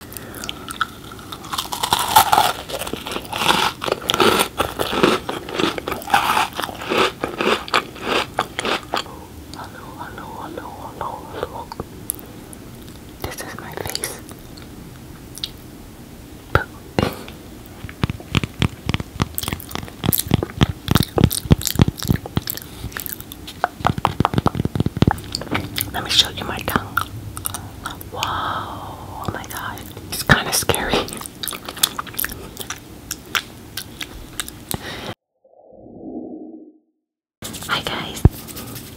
Hello, hello, hello, hello, hello. This is my face. Let me show you my tongue. Whoa, oh my god, it's kind of scary. Hi guys,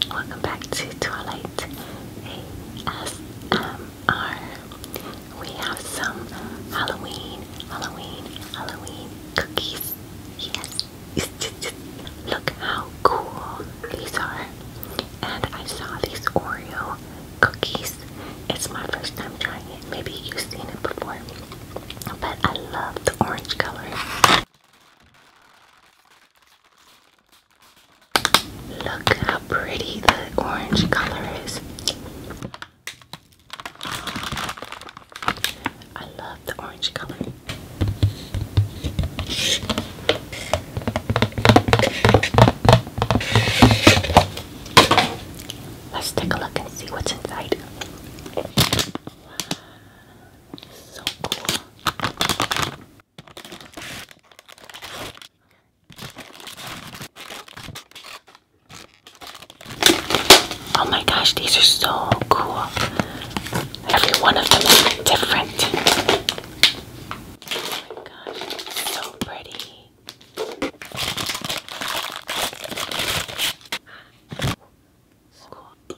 welcome back to Twilight ASMR. We have some Halloween, Halloween, Halloween cookies. Yes, Look how cool these are. And I saw these Oreo cookies. It's my first time trying it. Maybe you've seen it before. But I love the orange color. Look how pretty the orange color is. I love the orange color. Let's take a look and see what's inside. So cool. Oh my gosh, these are so cool. Every one of them is different. Oh my gosh, so pretty. So cool.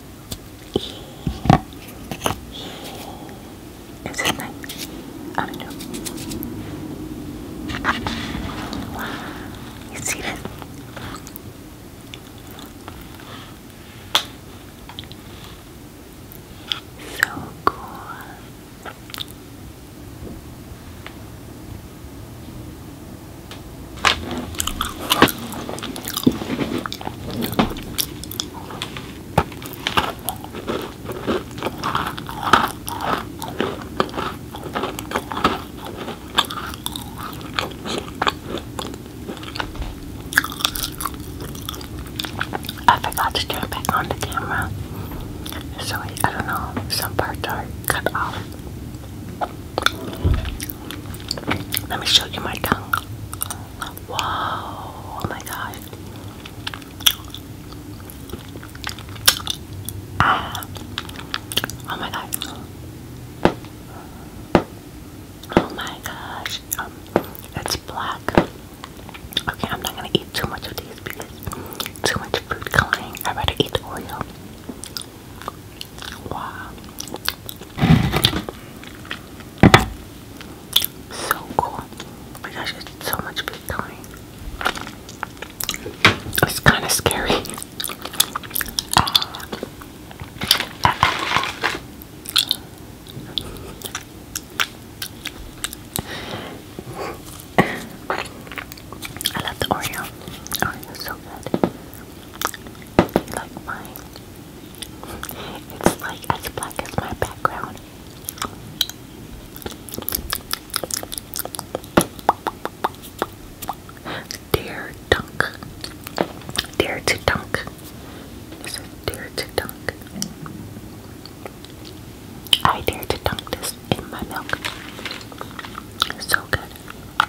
Is it night? I know. You see that? So cool. I forgot to turn back on the camera. So I don't know, some parts are cut off. Let me show you my tongue. Wow, oh my god. Ah, oh my god. Oh my gosh. Um, it's black. Okay, I'm not gonna eat too much of these because too much fruit coloring. i rather eat Oreo. Wow. So cool. Oh my gosh, it's so much big coming. It's kind of scary. I love the Oreo. Oreo so good like mine. It's like as black as my background. Dear Dunk. Dare to Dunk. This Dare to Dunk. I dare to dunk this in my milk. so good.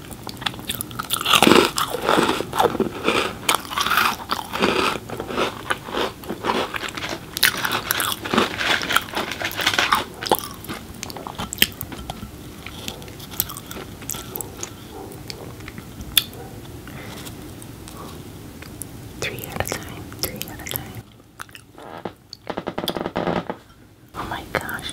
Three at a time, three at a time. Oh my gosh,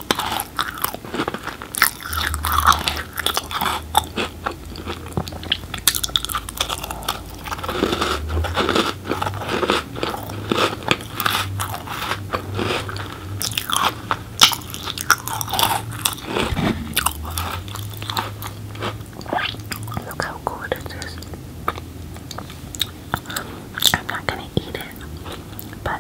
Look how good it is. I'm not gonna eat it, but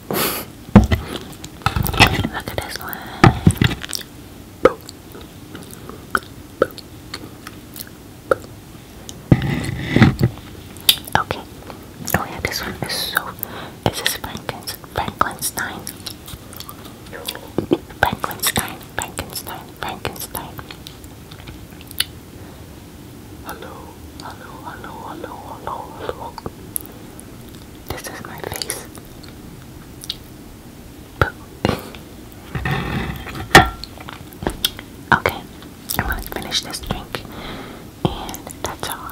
Look at this one. Boop. Boop. Boop. Okay. Oh yeah, this one is so. This is Franklin's Frankenstein. Frankenstein. Frankenstein. Frankenstein. Hello. Hello. Hello. Hello. Hello. Hello. This is my face. okay, I'm gonna finish this drink, and that's all.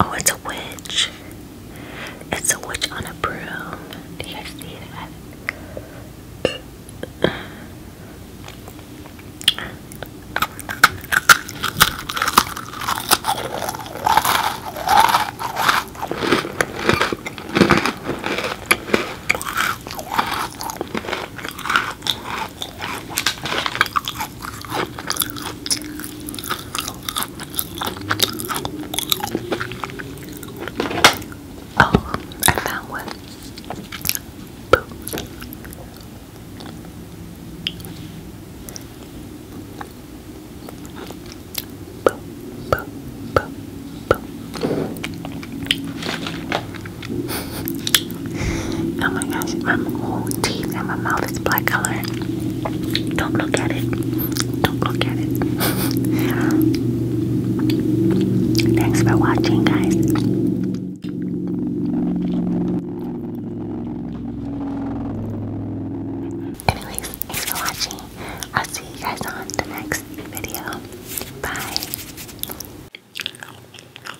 oh, it's a witch. It's a witch on a broom. Do you guys see that? Oh, I found one. Boom. Boom, boom, boom, boom. oh my gosh, my whole teeth and my mouth is black color. Don't look at it. Don't look at it. Thanks for watching, guys. Anyways, thanks for watching. I'll see you guys on the next video. Bye.